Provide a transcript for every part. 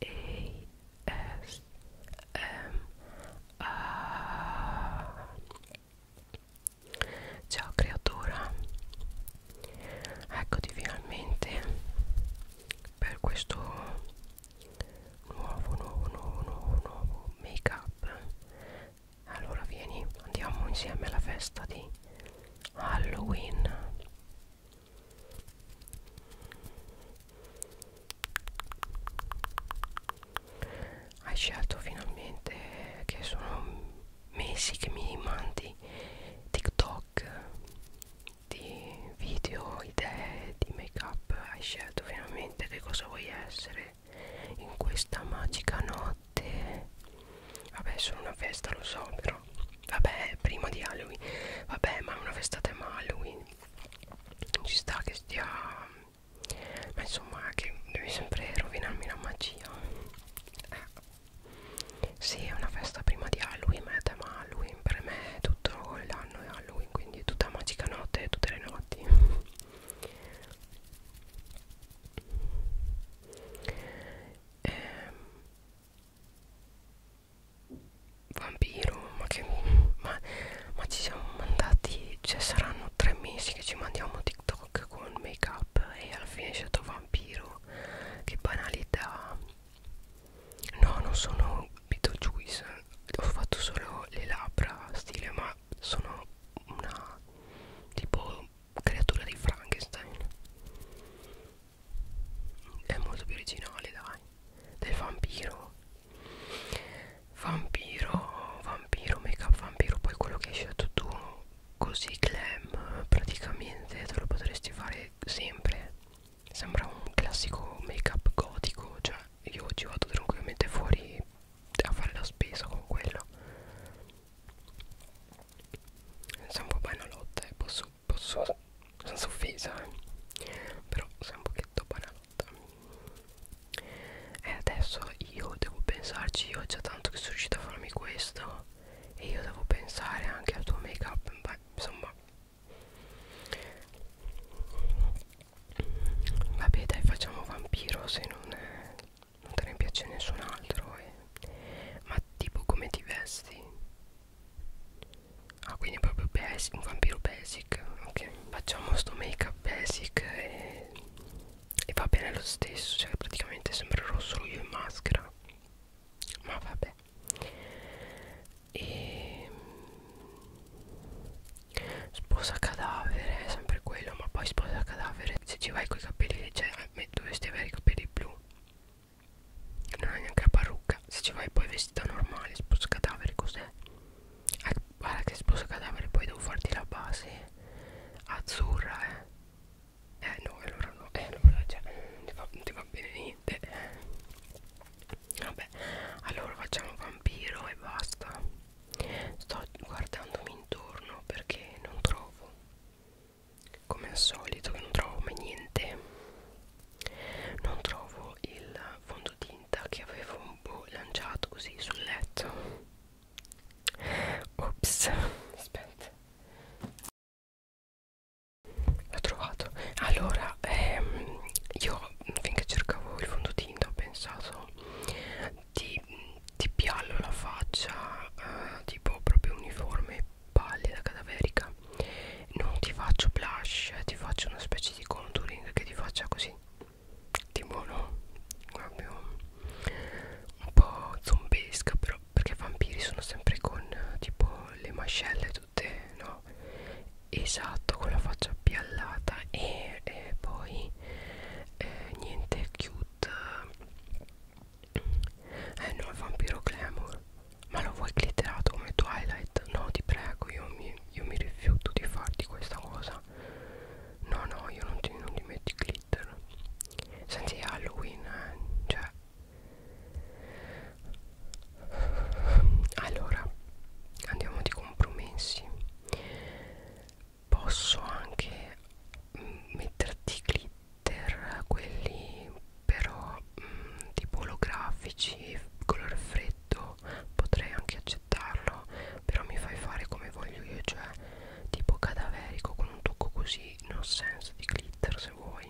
S M A Ciao creatura Eccoti finalmente per questo nuovo nuovo nuovo nuovo nuovo make up allora vieni andiamo insieme alla festa di Halloween hai scelto finalmente che sono mesi che mi mandi TikTok di video, idee di make up, hai scelto finalmente che cosa vuoi essere in questa magica notte. Vabbè, sono una festa, lo so, però Vabbè, prima di Halloween. Vabbè, ma è una festata è Halloween. Ci sta che stia... Ma insomma, che devi sempre rovinarmi la magia. Eh. Sì, è una festa prima di Halloween, ma è tema Halloween. Per me è tutto l'anno è Halloween, quindi è tutta magica notte, tutte le notti. Eh, Vampiro, ma che. Ma, ma ci siamo mandati. Cioè, saranno tre mesi che ci mandiamo TikTok con make up e alla fine è stato vampiro. Che banalità. No, non sono Beetlejuice. Ho fatto solo le labbra stile, ma sono una tipo creatura di Frankenstein è molto più originale dai del vampiro vampiro vampiro make up vampiro poi quello che hai scelto tu così glam praticamente te lo potresti fare sempre sembra un classico make up gotico cioè io oggi vado tranquillamente fuori a fare la spesa con quello Sembra un po' una lotta e eh. posso posso senza offesa eh. però sei un pochetto banalotta e adesso io devo pensarci io già tanto che sono riuscita a farmi questo e io devo pensare anche al tuo make up Beh, insomma vabbè dai facciamo vampiro se non, eh, non te ne piace nessun altro eh. ma tipo come ti vesti Ah quindi è proprio basic, un vampiro basic Ok Facciamo sto make up basic e, e va bene lo stesso Cioè praticamente sembrerò solo io in maschera Ma vabbè E ehm, Sposa cadavere è sempre quello Ma poi sposa cadavere Se ci vai con i capelli cioè, eh, dovresti avere i capelli blu non è neanche la parrucca se ci vai poi vestita normale sposa cadavere cos'è eh, guarda che sposa cadavere poi devo farti la base azzurra eh eh no allora no eh allora cioè, non, ti va, non ti va bene niente vabbè allora facciamo vampiro e basta sto guardandomi intorno perché non trovo come al solito che non trovo mai niente non trovo il fondotinta che avevo un boh, po' lanciato così sul letto ops aspetta l'ho trovato allora ehm, io finché cercavo il fondotinta ho pensato di, di piallo la faccia eh, tipo proprio uniforme pallida cadaverica non ti faccio blush eh, ti faccio una specie di contouring che ti faccia così tipo no proprio un po' zombesca però perché i vampiri sono sempre con tipo le mascelle tutte no esatto con la faccia appiallata e, e poi eh, niente cute eh no è vampiro glamour ma lo vuoi glitterato come twilight no ti prego io mi, io mi rifiuto di farti questa cosa no no io non ti, non ti metti glitter senti halloween eh, cioè allora andiamo di compromessi posso anche metterti glitter glitter quelli però mh, mm, tipo olografici color freddo potrei anche accettarlo però mi fai fare come voglio io cioè tipo cadaverico con un tocco così no senso di glitter se vuoi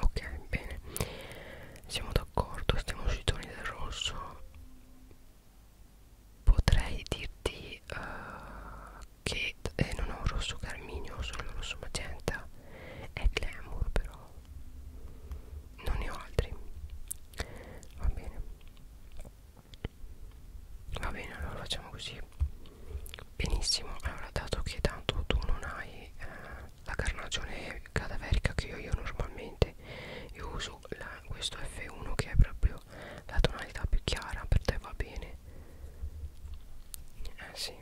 ok bene siamo d'accordo stiamo sui toni del rosso potrei dirti uh, che eh, non ho rosso carminio, ho solo rosso magenta è glamour però non ne ho altri va bene va bene allora facciamo così benissimo allora dato che tanto tu non hai eh, la carnagione cadaverica che io, io normalmente io uso la, questo F1 che è proprio la tonalità più chiara per te va bene eh sì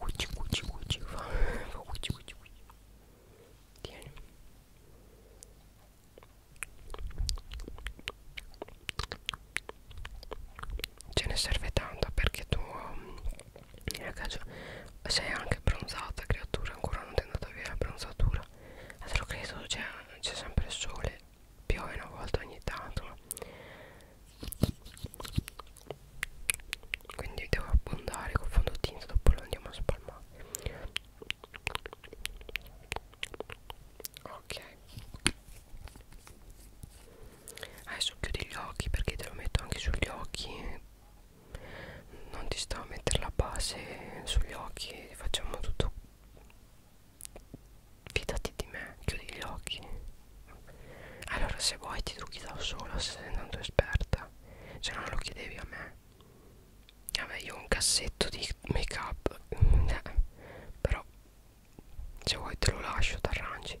Cucci, cucci, cucci, fa cucci, cucci, cucci. Tieni. Ce ne serve tanto perché tu Ragazzi, sei anche bronzata creatura, ancora non ti è andata via la bronzatura. Ma te lo credo, c'è sempre il sole, piove una volta ogni tanto. Quindi devo abbondare con fondotinta, dopo lo andiamo a spalmare. Ok. Adesso chiudi gli occhi perché te lo metto anche sugli occhi non ti sto a mettere la base sugli occhi facciamo tutto fidati di me chiudi gli occhi allora se vuoi ti trucchi da sola se sei tanto esperta se non lo chiedevi a me vabbè io ho un cassetto di make up però se vuoi te lo lascio t'arrangi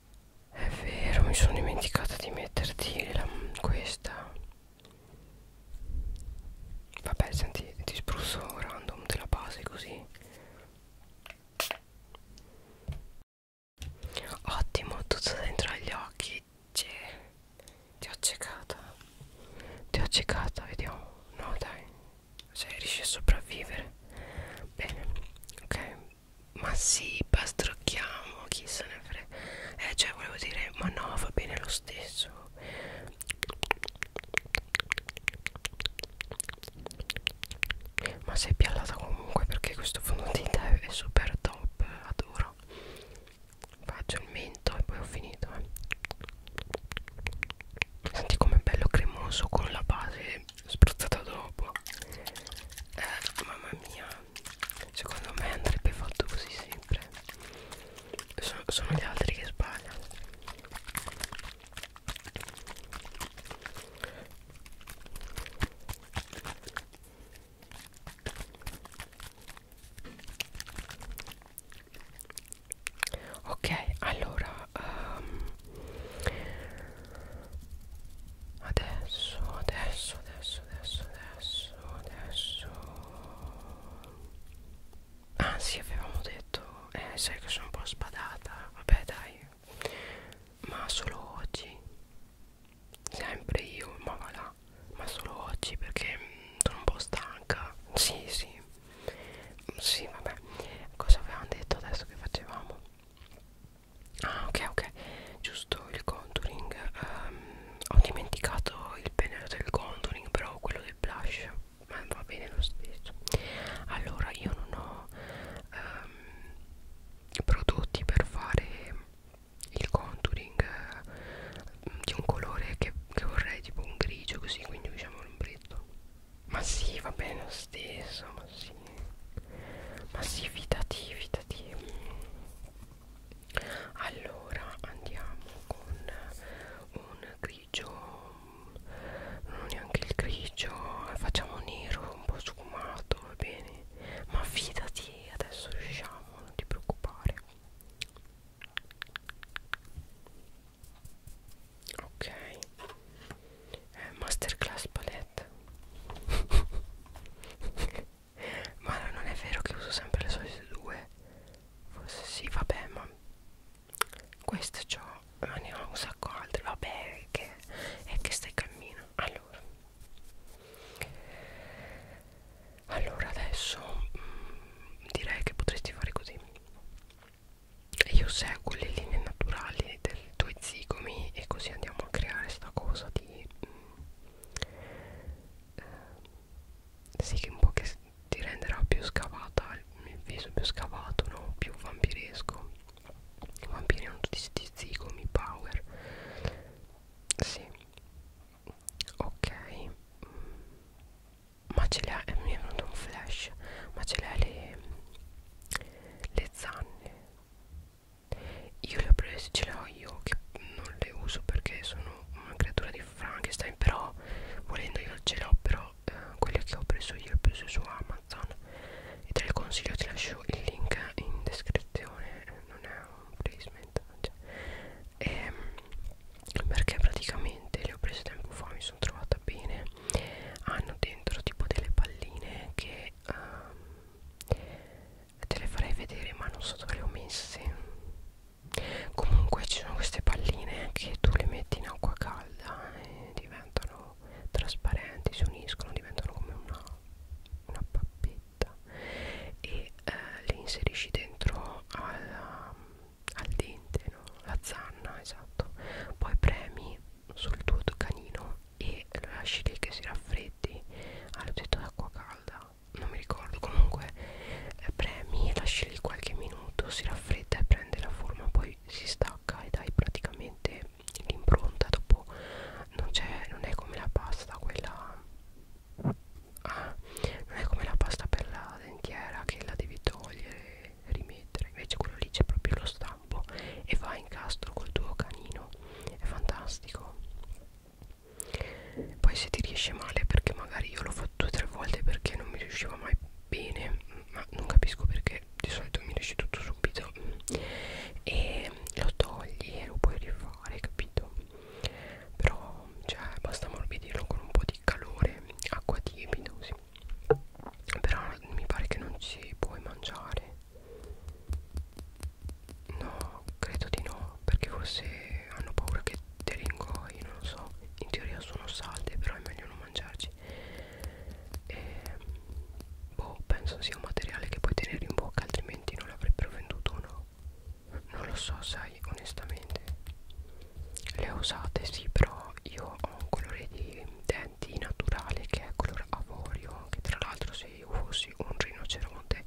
È vero, mi sono dimenticata di metterti la, questa. Vabbè, senti, ti spruzzo random della base così. Ottimo, tutto dentro agli occhi. C'è. Ti ho accecata. Ti ho accecata, vediamo. No, dai. Cioè, riesci a sopravvivere. Bene, ok ma sì, pastrocchiamo, chi se ne frega. Eh, cioè, volevo dire, ma no, va bene lo stesso. Ma sei piallata comunque perché questo fondotinta è super top, adoro. Faccio il mento e poi ho finito. Eh. Senti com'è bello cremoso con la base spruzzata dopo eh, mamma mia secondo me andrebbe fatto così sempre sono, sono gli altri che sbagliano Ok, allora um, Adesso, adesso, adesso, adesso, adesso, adesso. Ah sì, avevamo detto, eh, sai che sono un po' spadata. Vabbè dai, ma solo oggi. Sempre io, ma va là. Ma solo oggi perché mh, mm, sono un po' stanca. Sì, sì. Sì, vabbè. Cosa avevamo detto adesso che facevamo? Ah ok ok giusto il contouring um, Ho dimenticato il pennello del contouring però quello del blush ma va bene lo stesso Allora io non ho um, prodotti per fare il contouring uh, di un colore che, che vorrei tipo un grigio così quindi diciamo un bretto ma sì va bene lo stesso ma sì ma sì fidati fidati allora andiamo con un grigio non neanche il grigio facciamo nero un po' sfumato va bene ma fidati adesso riusciamo non ti preoccupare ok eh, masterclass palette ma non è vero che uso sempre le solite due forse sì vabbè ma queste c'ho ma ne ho un sacco altre vabbè che è che stai cammino allora allora adesso mh, mm, direi che potresti fare così io seguo le linee naturali del i tuoi zigomi e così andiamo a creare sta cosa di mh, mm, eh, sì che un po' che ti renderà più scavata il viso più scavato no più vampiresco i vampiri hanno tutti questi zigomi power sì ok mm. ma ce le ha mi è venuto un flash ma ce le ha le le zanne io le ho prese, ce le ho io che non le uso perché sono una creatura di Frankenstein Però volendo io ce le ho però eh, quelle che ho preso io le ho prese su Amazon E te le consiglio, ti lascio il link in descrizione, non è un placement cioè, e, ehm, Perché praticamente le ho prese tempo fa, mi sono trovata bene Hanno dentro tipo delle palline che um, te le farei vedere ma non so dove le ho messe comunque ci sono queste palline che tu le metti in acqua calda e diventano trasparenti si uniscono diventano come una, una pappetta e eh, le inserisci dentro alla, al dente no? la zanna esatto poi premi sul tuo canino e lo lasci lì che si raffreddi al ah, tetto d'acqua calda non mi ricordo comunque eh, premi e lasci lì qualche minuto si raffredda e prende la forma poi si stacca ed hai praticamente l'impronta dopo non, non è come la pasta quella ah, non è come la pasta per la dentiera che la devi togliere mettere invece quello lì c'è proprio lo stampo e fa incastro col tuo canino è fantastico poi se ti riesce male perché magari io l'ho fatto due o tre volte perché non mi riusciva mai bene mm, ma non capisco perché di solito mi riesce tutto subito e lo togli e lo puoi rifare capito però cioè basta morbidirlo con un po' di calore acqua tiepida così però mi pare che non ci puoi mangiare No, credo di no, perché forse hanno paura che te ringoi, non lo so. In teoria sono salde, però è meglio non mangiarci. E, boh, penso sia un materiale che puoi tenere in bocca, altrimenti non l'avrebbero venduto o no. Non lo so, sai, onestamente. Le ho usate, sì, però io ho un colore di testa senti naturale che è color avorio che tra l'altro se io fossi un rinoceronte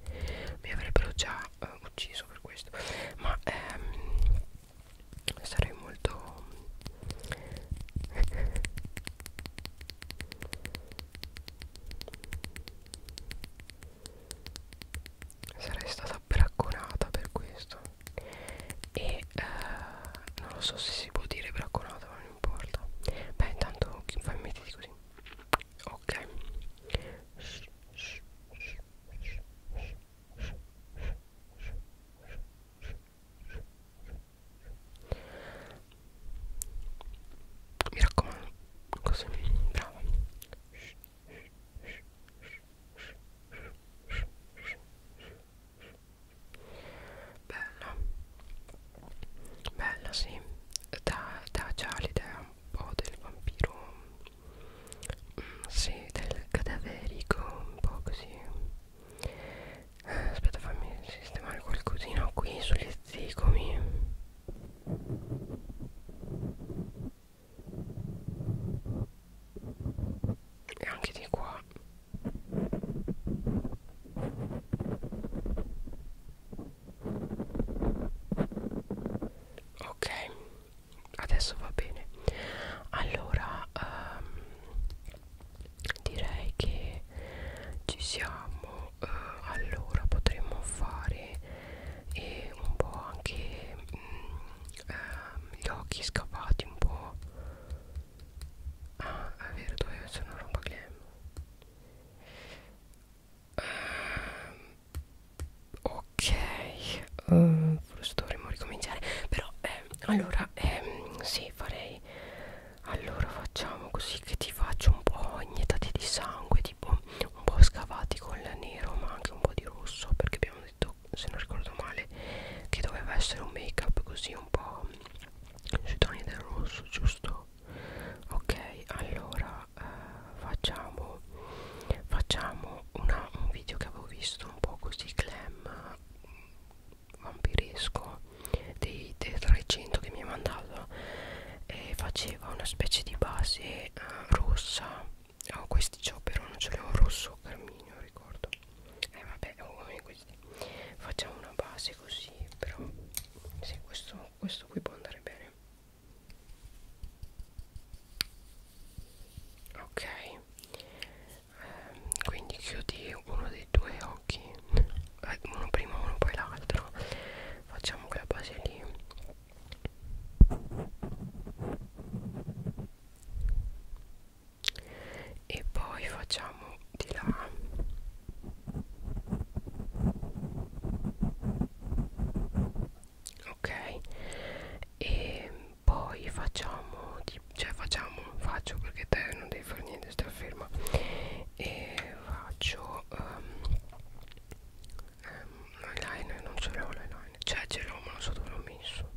mi avrebbero già eh, ucciso per questo ma ehm, sarei molto sarei stata bracconata per questo e eh, non lo so se si può dire bracconata ma mi importa beh intanto fai mettiti così ok mi raccomando così brava bella bella sì dà, dà già l'idea un po' del vampiro mm, sì del cadaverico un po' così aspetta fammi sistemare qualcosina qui sugli zigomi e anche di qua ok adesso va bene allora um, direi che ci siamo uh, allora potremmo fare eh, un po' anche mm, uh, gli occhi scavati un po' Ah, è vero, doveva essere una roba glam. Um, ok, um, forse dovremmo ricominciare. Però, eh, allora, eh, sì, farei. Allora, facciamo così che ti faccio un po' iniettati di sangue, tipo un po' scavati con il nero, ma anche un po' di rosso. Perché abbiamo detto, se non ricordo male, che doveva essere un make up così un po' sui toni del rosso giusto ok allora eh, facciamo facciamo una, un video che avevo visto un po' così glam vampiresco dei, dei 300 che mi ha mandato e faceva una specie di base eh, rossa ho oh, questi chopper non ce l'ho rosso carminio ricordo tanto eh vabbè come oh, questi facciamo una base così però sì, questo, questo qui può andare bene ok ehm, quindi chiudi uno dei due occhi eh, uno prima uno poi l'altro facciamo quella base lì e poi facciamo di là ok e poi facciamo di, cioè facciamo faccio perché te non devi fare niente sta ferma e faccio um, um, l'eyeliner non ce l'ho l'eyeliner cioè ce l'ho ma non so dove l'ho messo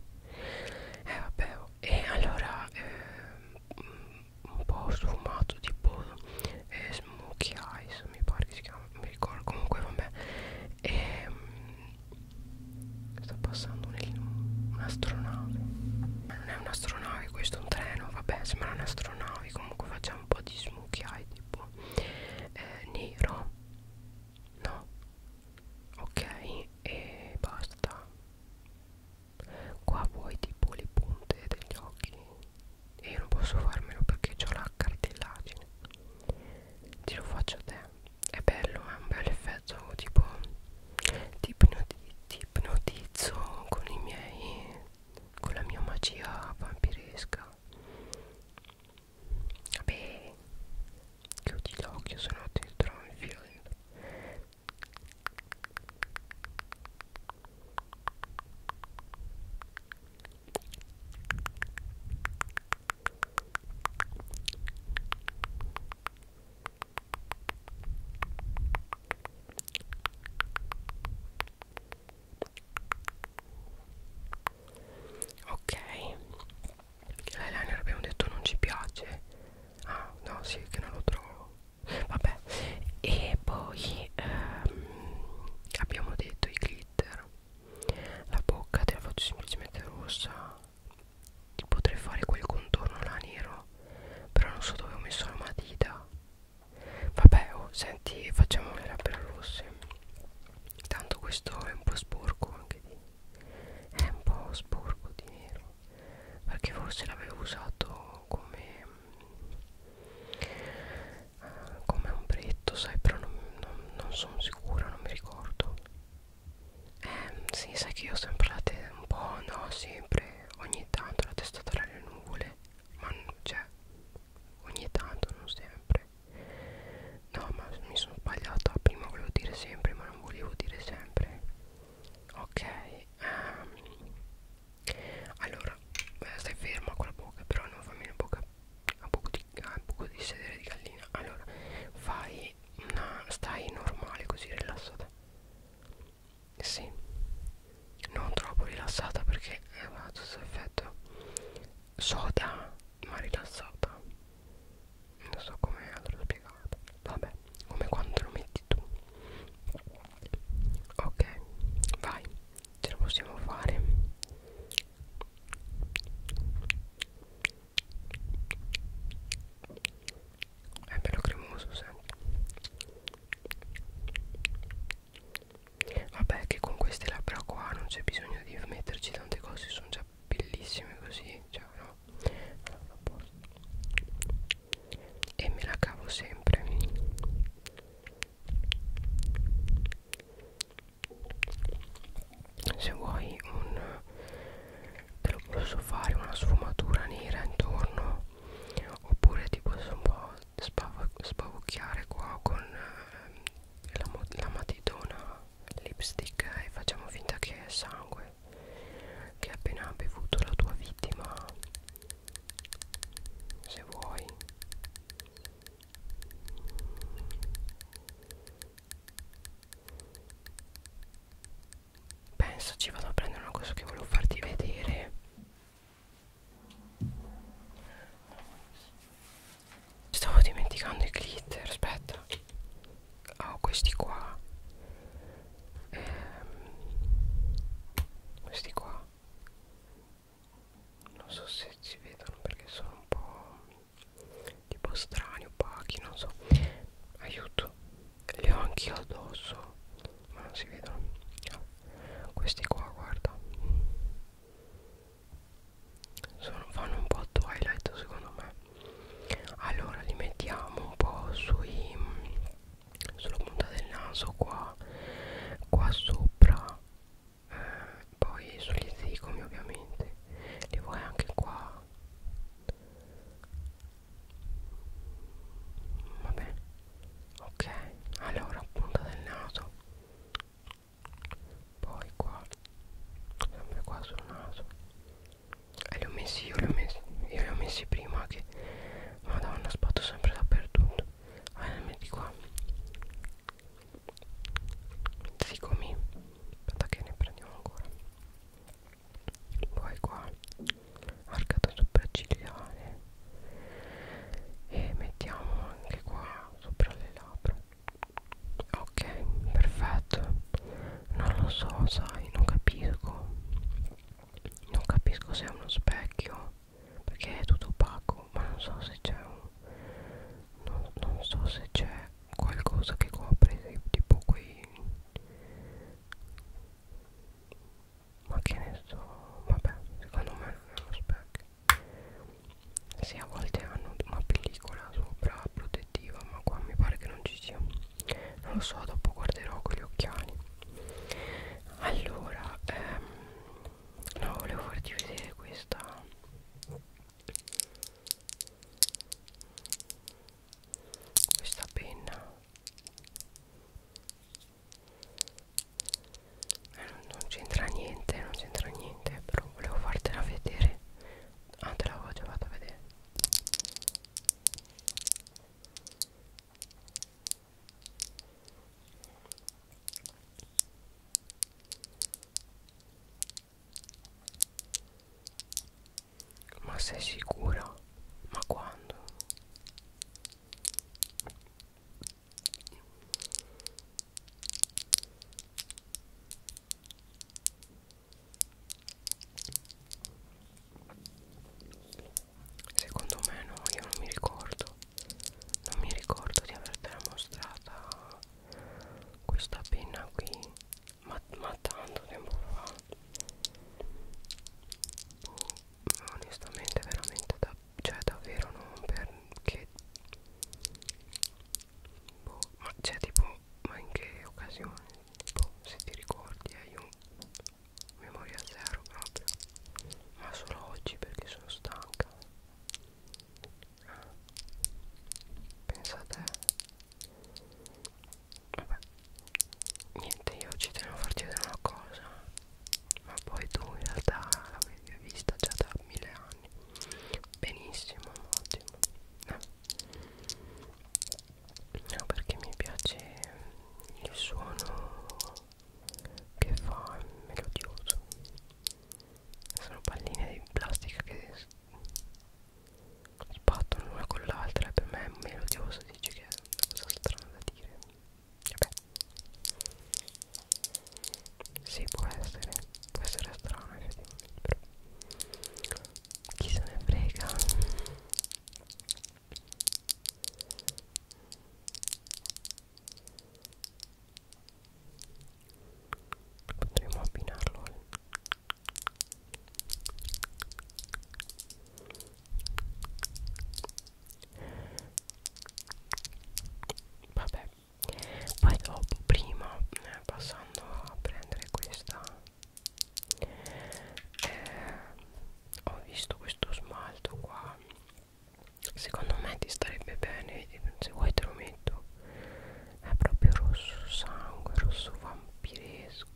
eh vabbè oh. e allora eh, un po' sfumato tipo eh, Smokey Eyes mi pare che si chiama mi ricordo comunque vabbè e, ehm, sta passando un'astronave non è un'astronave questo è un treno vabbè sembra un'astronave comunque facciamo un po' di Smokey Eyes tipo eh, nero no ok e basta qua vuoi tipo le punte degli occhi e io non posso farmelo perché ho la cartellagine ti lo faccio a te è bello è un bel effetto tipo ti ipnotizzo con i miei con la mia magia vampiresca vabbè chiudi l'occhio se no ti trovo in filo Ok, l'eyeliner abbiamo detto non ci piace. Ah, no, sì, che non lo trovo vabbè e poi ehm, abbiamo detto i glitter la bocca te la faccio semplicemente rossa potrei fare quel contorno là nero però non so dove ho messo la matita vabbè oh, senti facciamo le labbra rosse tanto questo è un po' sporco anche di è un po' sporco di nero perché forse l'avevo usato come uh, come ombretto sai però non, non, non sono sicura non mi ricordo eh sì sai che io ho sempre la testa un po' no sempre ogni tanto la testa tra le nuvole ma cioè ogni tanto non sempre no ma mi sono sbagliata prima volevo dire sempre ma non volevo dire sempre ok ehm, allora eh, stai fermo con la bocca però non fammi la bocca a poco di, a eh, poco di sedere di gallina allora fai una stai normale così rilassata sì non troppo rilassata perché ha questo effetto soda ma rilassata non so come l'ho spiegato vabbè come quando lo metti tu ok vai ce la possiamo fare è bello cremoso sempre vabbè che con queste labbra qua non c'è bisogno di metterci tante cose sono già bellissime così cioè no no allora, posso. e me la cavo sempre se vuoi un te lo posso fare una sfumatura nera intorno oppure ti posso un po' spavucchiare qua con eh, la, la matitona lipstick e facciamo finta che è sangue che ha appena bevuto la tua vittima se vuoi penso ci vado a prendere una cosa che volevo farti vedere stavo dimenticando i glitter aspetta Ah, ho oh, questi qua ehm, questi qua non so se si vedono perché sono un po' tipo strani opachi non so aiuto li ho anch'io addosso ma non si vedono no. questi qua guarda sono, fanno un po' twilight secondo me allora li mettiamo un po' sui sulla punta del naso qua qua sopra eh, poi sugli zigomi ovviamente li vuoi anche qua vabbè ok allora punta del naso poi qua sempre qua sul naso e li ho messi io li ho messi io li ho messi prima che madonna sbatto sempre dappertutto allora ah, metti qua zigomi aspetta che ne prendiamo ancora poi qua arcata sopraccigliare e mettiamo anche qua sopra le labbra ok perfetto non lo so sai non capisco non capisco se è uno specchio perché è tutto opaco ma non so se c'è un non, non so se c'è qualcosa che copre tipo quei ma che ne so vabbè secondo me non è uno specchio sì, a volte hanno una pellicola sopra protettiva, ma qua mi pare che non ci sia non lo so dopo guarderò con gli occhiali allora ehm, no volevo farti vedere questa questa penna eh, non, non c'entra niente non c'entra niente però volevo fartela vedere ah te l'avevo già fatta vedere ma sei sicura? Ma quando? Secondo me no, io non mi ricordo. Non mi ricordo di avertela mostrata questa penna qui, ma, ma tanto tempo fa. Boh, onestamente veramente da, cioè davvero non perché boh, ma c'è cioè, tipo ma in che occasione boh, se ti ricordi eh, io memoria zero proprio ma solo oggi perché sono stanca ah, pensate vabbè niente io ci tenevo a farti vedere una cosa ma poi tu in realtà l'avevi vista già da mille anni benissimo ottimo eh no perché mi piace il suono che fa melodioso sono palline di plastica che sbattono l'una con l'altra e per me è melodioso dici che è una cosa strana da dire vabbè si sì, può essere può essere strano effettivamente però chi se ne frega potremmo abbinarlo al... vabbè poi dopo oh, prima eh, passando a prendere questa eh, ho visto questo smalto qua secondo me ti starebbe bene se vuoi te lo metto è proprio rosso sangue rosso vampiresco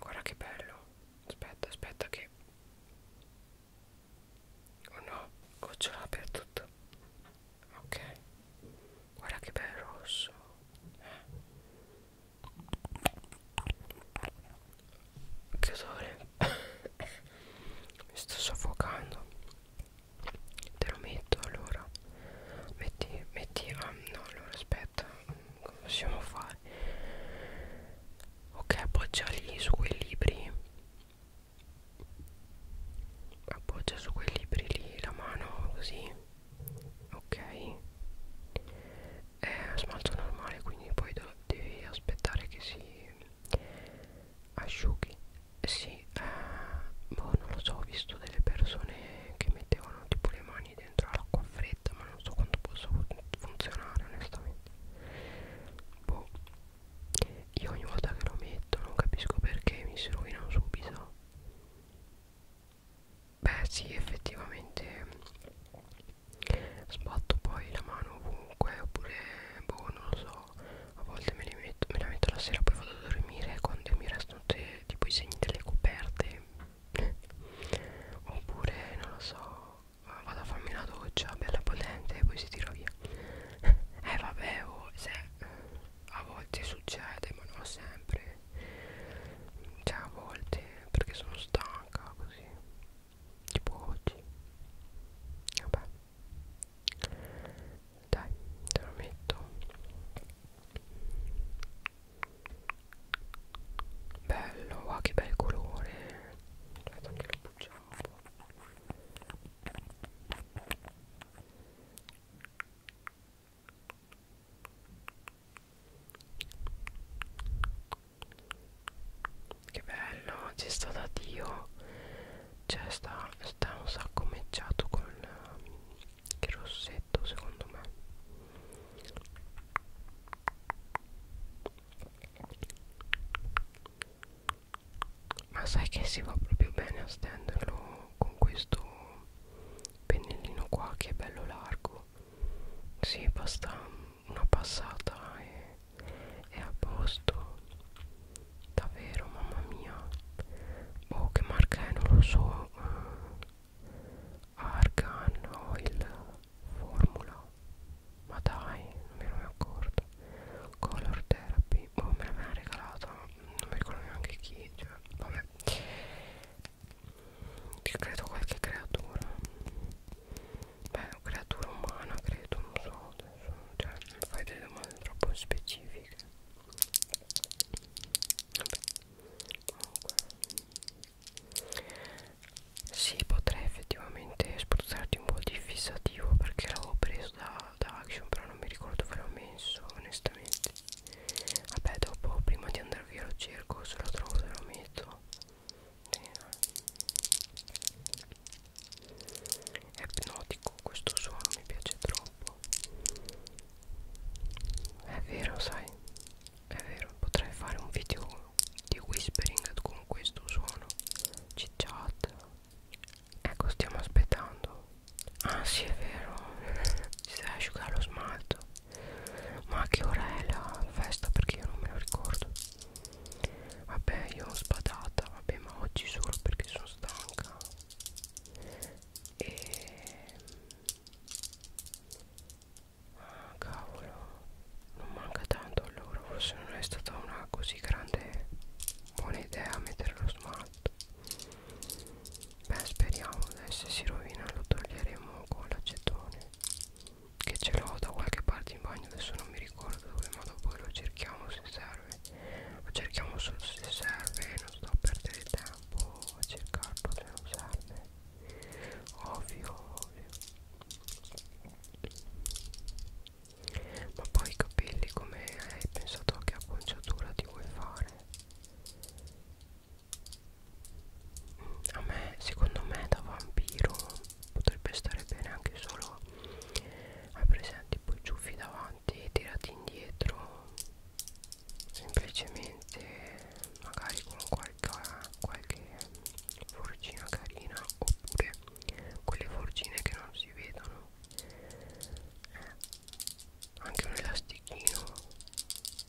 Guarda che bello. Aspetta, aspetta che... Oh no, gocciola per tutto. Ok. Guarda che bel rosso. Eh. Che odore. Mi sto soffocando te lo metto allora metti metti ah no allora aspetta come possiamo fare ok appoggia lì su quei libri appoggia su quei libri lì la mano così ok è smalto normale quindi poi devi aspettare che si asciughi sì eh, boh non lo so ho visto delle persone che mettevano tipo le mani dentro l'acqua fredda ma non so quanto possa funzionare onestamente boh io ogni volta che lo metto non capisco perché mi si rovinano subito beh sì effettivamente mm, sbatto poi la mano ovunque oppure boh non lo so però a volte me, li metto, me la metto la sera poi vado a dormire quando mi restano te, tipo i segni delle coperte oppure non lo so vado a farmi una doccia bella potente e poi si tira via eh vabbè oh, se, a volte succede ma non sempre cioè a volte perché sono stanca così tipo oggi vabbè dai te lo metto bello ah che bel colore aspetta che lo bucciamo un po' che bello ci sta da dio cioè sta, sta un sacco mecciato con il, il ehm, rossetto secondo me ma sai che si va proprio bene a stenderlo con questo pennellino qua che è bello largo si sì, basta una passata e è a posto davvero mamma mia oh che marca è non lo so eh, argan oil formula ma dai non me ne ero accorto color therapy oh me l'aveva regalata non mi ricordo neanche chi cioè vabbè credo qualche creatura beh creatura umana credo non so adesso cioè, non fai delle domande troppo specifiche vabbè comunque sì potrei effettivamente spruzzarti un po' di fissativo perché l'avevo preso da, da action però non mi ricordo dove l'ho messo onestamente vabbè dopo prima di andare via lo cerco se lo trovo te lo metto Bene. Eh è ipnotico questo suono mi piace troppo è vero sai è vero potrei fare un video di whispering con questo suono chit chat ecco stiamo aspettando ah sì è vero si deve asciugare lo smalto ma a che ora è la festa perché io non me lo ricordo Vabbè io ho spadata Vabbè ma oggi solo perché sono stanca E Ah cavolo Non manca tanto allora Forse non è stata una così grande Buona idea mettere lo smalto Beh speriamo dai, se si rovina lo toglieremo con l'acetone Che ce l'ho da qualche parte in bagno Adesso non mi ricordo dove ma dopo lo cerchiamo se serve ma cerchiamo solo se serve non sto a perdere tempo a cercarlo se non serve ovvio ovvio ma poi i capelli come hai pensato a che acconciatura ti vuoi fare a me secondo me da vampiro potrebbe stare bene anche solo ai presenti poi ciuffi davanti tirati indietro semplicemente magari con qualche, qualche forcina carina oppure quelle forcine che non si vedono eh, anche un elastichino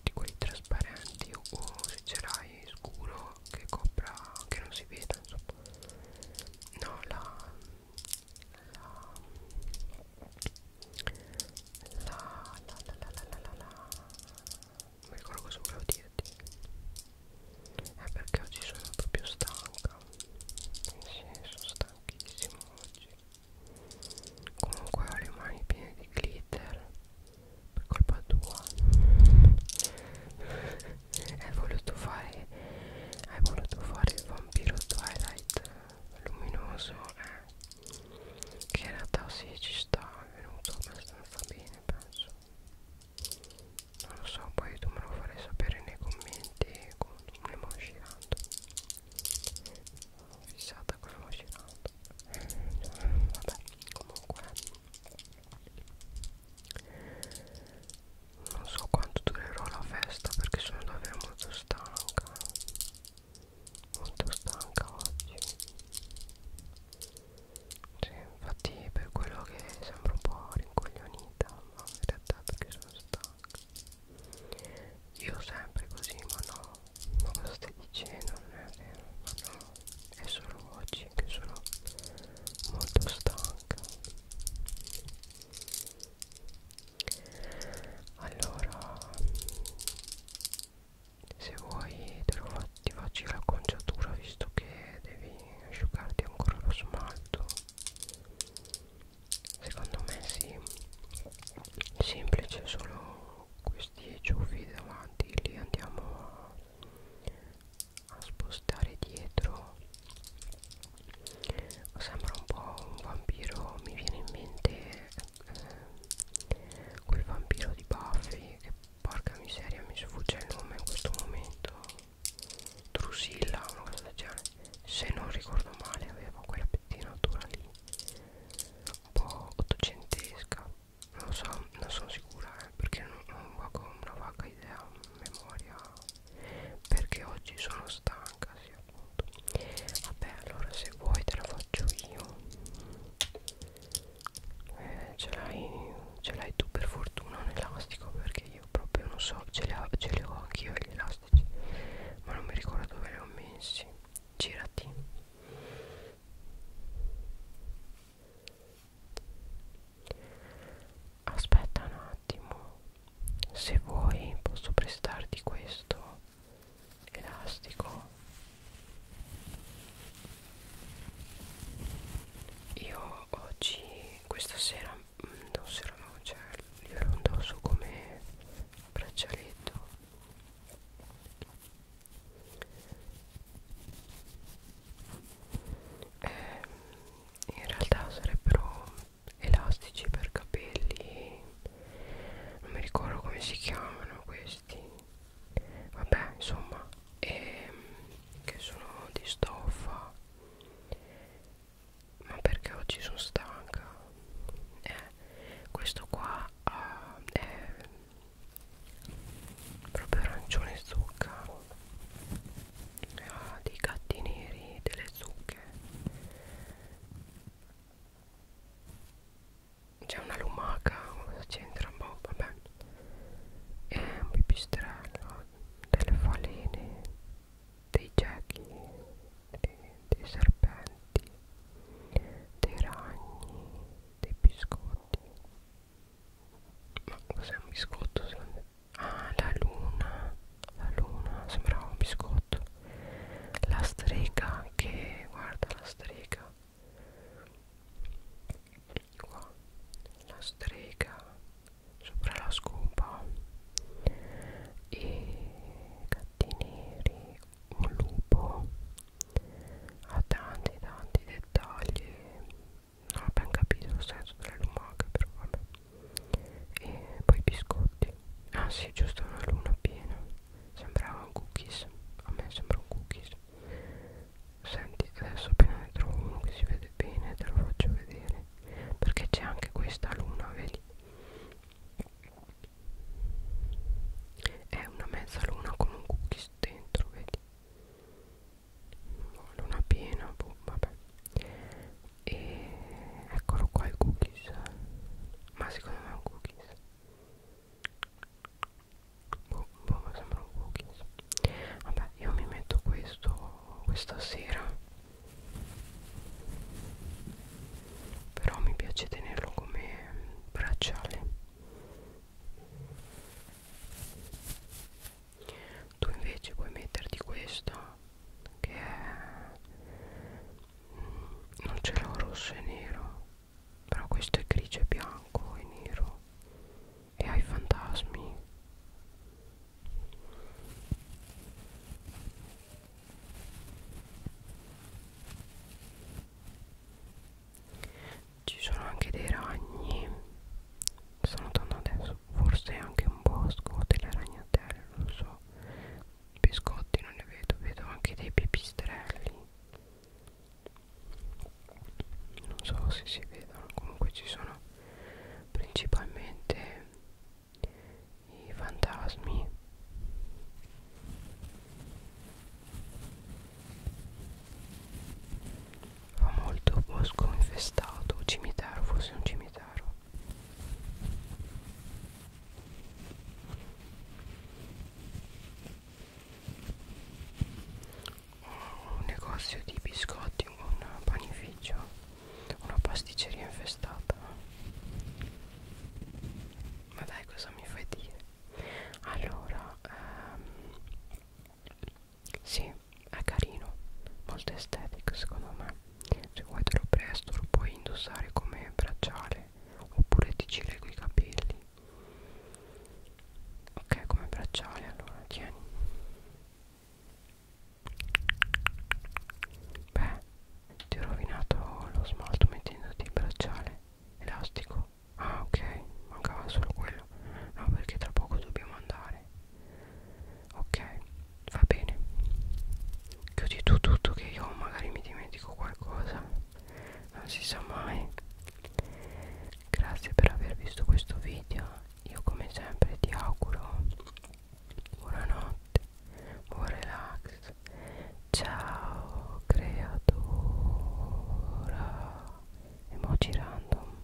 di quelli trasparenti o se ce l'hai scuro che copra che non si vede insomma no la la la la la la la la la non mi ricordo cosa volevo dirti è perché oggi sono proprio stanca sì, sono stanchissimo oggi comunque ho le mani piene di glitter per colpa tua hai voluto fare hai voluto fare il vampiro twilight luminoso eh? che in realtà si sì, ci sta è venuto abbastanza bene penso non lo so poi tu me lo farai sapere nei commenti quando me ne usciranno fissata con la usciranno oh, eh, vabbè comunque non so quanto durerò la festa perché sono davvero molto stanca molto stanca oggi sì, infatti per quello che sembro un po' rincoglionita ma in realtà perché sono stanca io sempre così ma no ma cosa stai dicendo non è vero ma no è solo oggi che sono molto stanca allora se vuoi te lo fa, ti faccio l'acconciatura visto che devi asciugarti ancora lo smalto secondo me sì semplice solo questi ciuffi davanti li andiamo a a spostare dietro sembra un po' un vampiro mi viene in mente eh, quel vampiro di Buffy che porca miseria mi sfugge il nome in questo momento Drusilla una cosa del genere se non ricordo male aveva quella pettinatura lì un po' ottocentesca non lo so non sono sicura eh, perché non, non ho una vaga idea memoria perché oggi sono stanca sì appunto vabbè allora se vuoi te la faccio io eh, ce l'hai tu per fortuna un elastico perché io proprio non so ce li ho, ho anch'io gli elastici ma non mi ricordo dove li ho messi girati aspetta un attimo se vuoi posso prestarti questo elastico io oggi questa sera mm, non sera no cioè glielo indosso come braccialetto eh, in realtà sarebbero elastici per capelli non mi ricordo come si chiamano questi vabbè insomma e, ehm, che sono di stoffa ma perché oggi sono stanca eh, questo qua uh, è proprio arancione zucca ah, dei gatti neri delle zucche c'è una lumaca cosa c'entra boh, vabbè e un pipistrello delle falene dei gechi dei, dei serpenti dei ragni dei biscotti ma cos'è un biscotto secondo Ah, la luna, la luna, sembrava un biscotto. La strega che, guarda la strega. Qua, la strega sopra la scopa. E gatti neri, un lupo. Ha tanti tanti dettagli non ho ben capito il senso delle lumache però vabbè e poi i biscotti ah sì giusto una luna piena sembrava un cookies a me sembra un cookies senti adesso appena ne trovo uno che si vede bene te lo faccio vedere perché c'è anche questa luna vedi è una mezzaluna con un cookies dentro vedi no, luna piena boh, vabbè e eccolo qua il cookies ma secondo me è un cookies boh, boh mi sembra un cookies vabbè io mi metto questo questa sera però mi piace tenerlo come bracciale tu invece puoi metterti questo che è mm, non ce l'ho rosso e nero però questo è grigio e bianco e nero e hai fantasmi ci sono anche dei ragni stanno andando adesso forse anche un bosco delle ragnatele non so biscotti non ne vedo vedo anche dei pipistrelli non so se si vedono comunque ci sono principalmente i fantasmi fa molto bosco infestato cimitero forse un cimitero un negozio di biscotti un panificio una pasticceria infestata ma dai cosa mi fai dire allora ehm, sì, è carino, molto estetico secondo me. Se vuoi te lo presto lo puoi indossare come bracciale oppure ti ci leggo i capelli. Ok, come bracciale allora, tieni. Beh, ti ho rovinato lo smalto mettendoti il bracciale elastico. Ah ok, mancava solo quello. No, perché tra poco dobbiamo andare ok va bene chiudi tu tutto che io magari mi dimentico qualcosa non si sa mai grazie per aver visto questo video io come sempre ti auguro buonanotte buon relax ciao creatura emoji random